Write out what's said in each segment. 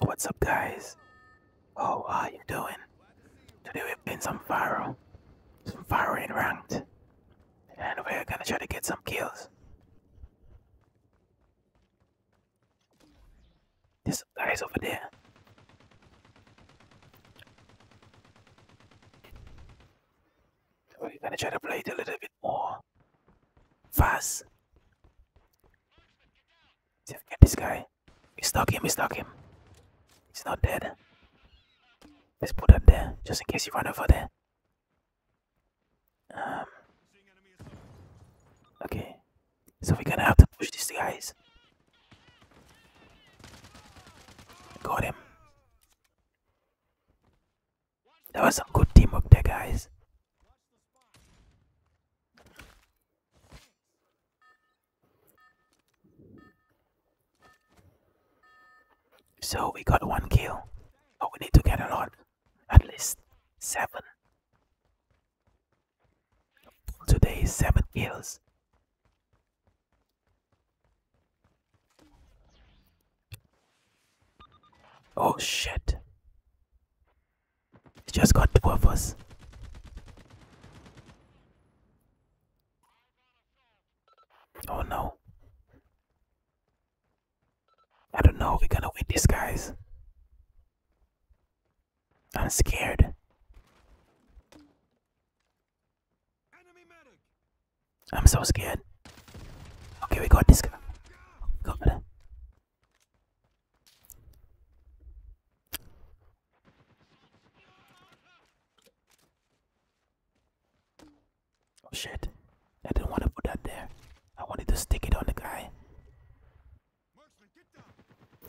What's up guys? Oh, are you doing? Today we're playing some fire, Some Pharaoh in ranked. And we're gonna try to get some kills. This guy's over there. We're gonna try to play it a little bit more. Fast. Get this guy. We stuck him, we stuck him. He's not dead. Let's put him there, just in case he run over there. Um, okay, so we're gonna have to push these guys. Got him. That was some good teamwork there, guys. So we got one kill, but we need to get a lot, at least seven. Today, seven kills. Oh shit. It just got two of us. Oh no. I don't know, we're gonna win these guys. I'm scared. I'm so scared. Okay, we got this guy. Got it. Oh shit. I didn't want to put that there. I wanted to stick it on the guy.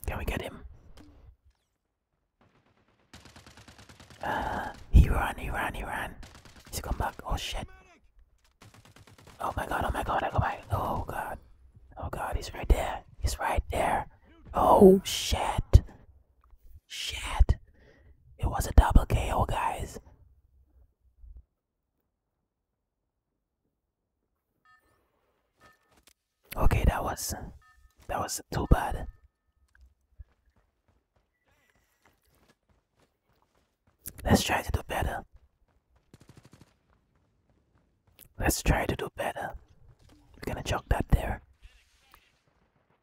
Can we get him? Uh, he ran, he ran, he ran. He's come back. Oh shit. Oh my god, oh my god, oh my Oh god. Oh god, he's right there. He's right there. Oh shit. Shit. It was a double KO, guys. Okay, that was that was too bad. Let's try to do better. Let's try to do better. We're gonna chalk that there.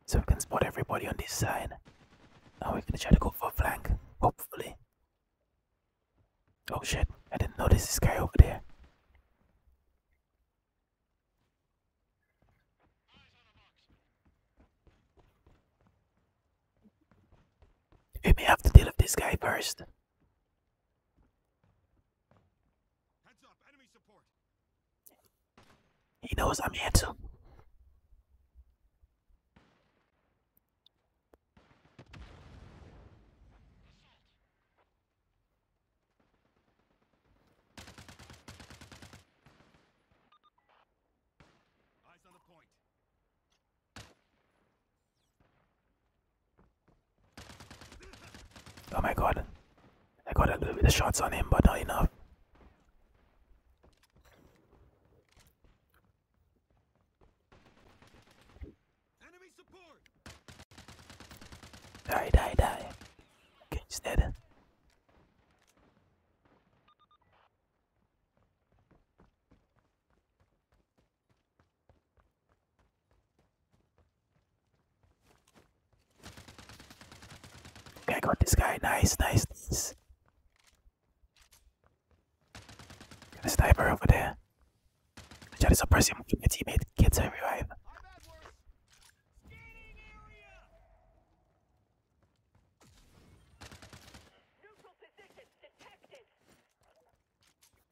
So we can spot everybody on this side. Now we're gonna try to go for a flank, hopefully. Oh shit, I didn't notice this guy over there. We may have to deal with this guy first. He knows I'm here too. Oh my god. I got a little bit of shots on him, but not enough. Die, die, die. Okay, he's Okay, I got this guy. Nice, nice, nice. Got a sniper over there. I try to suppress him. My teammate gets a revive.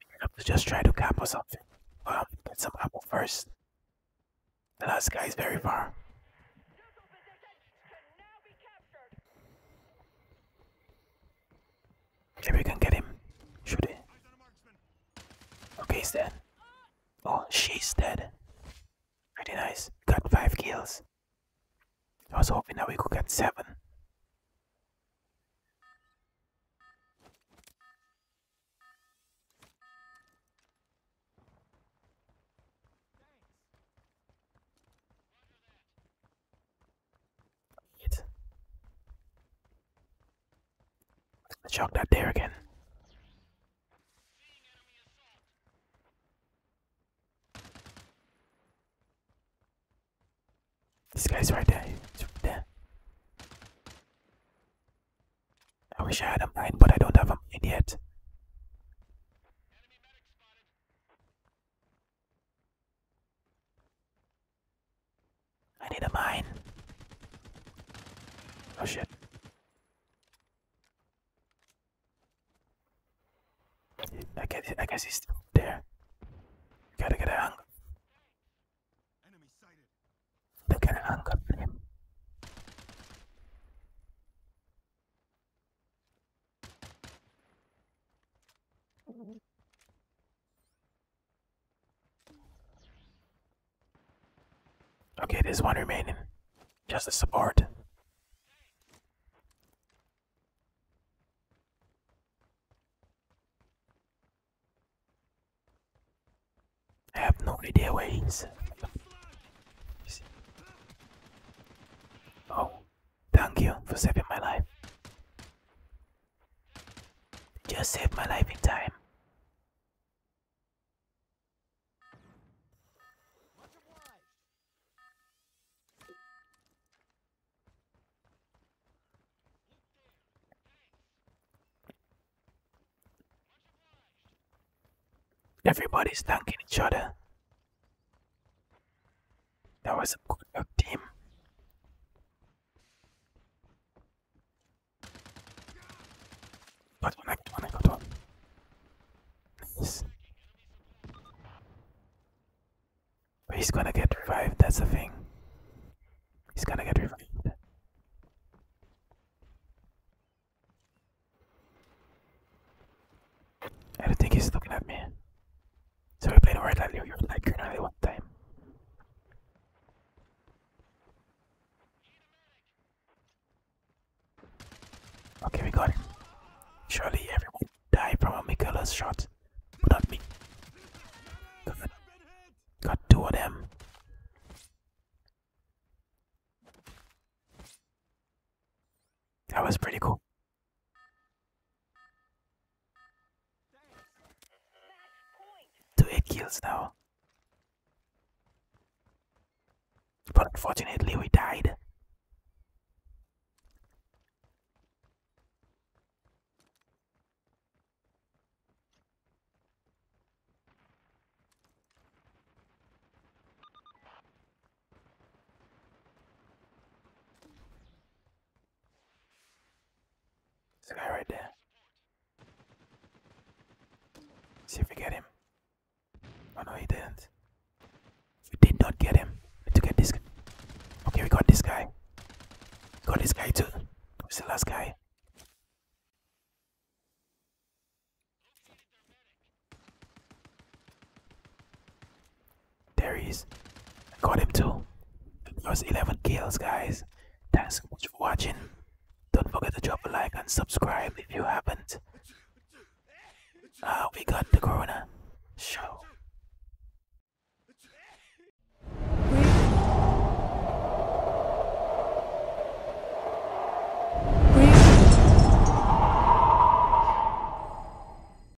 I have just trying to camp or something. Um, get some apple first. The last guy is very far. Maybe we can get him. Shoot it. Okay, he's dead. Uh, Oh, she's dead. Pretty nice. Got five kills. I was hoping that we could get seven. Shock that there again. This guy's right there. I wish I had a mine, but I don't have a mine yet. I need a mine. Oh shit. I guess, I guess he's still there. Gotta get a hang. They gotta hang up Okay, there's one remaining. Just a support. have no idea where he is. Oh, thank you for saving my life. Just saved my life in time. Everybody's dunking each other. That was a good luck team. But he's gonna get revived, that's the thing. He's gonna get revived. I don't think he's looking at me. So we played red like you green only one time. Okay, we got it. Surely everyone died from a Mikula's shot, but not me. got two of them. That was pretty cool. Two 8 kills now. But unfortunately we died. There's a guy right there. Let's see if we get him. Oh no, he didn't. We did not get him. need to get this. Okay, we got this guy. We got this guy too. Who's the last guy? There he is. I got him too. It was 11 kills, guys. Thanks so much for watching. Don't forget to drop a like and subscribe if you haven't. Uh, we got the Corona show.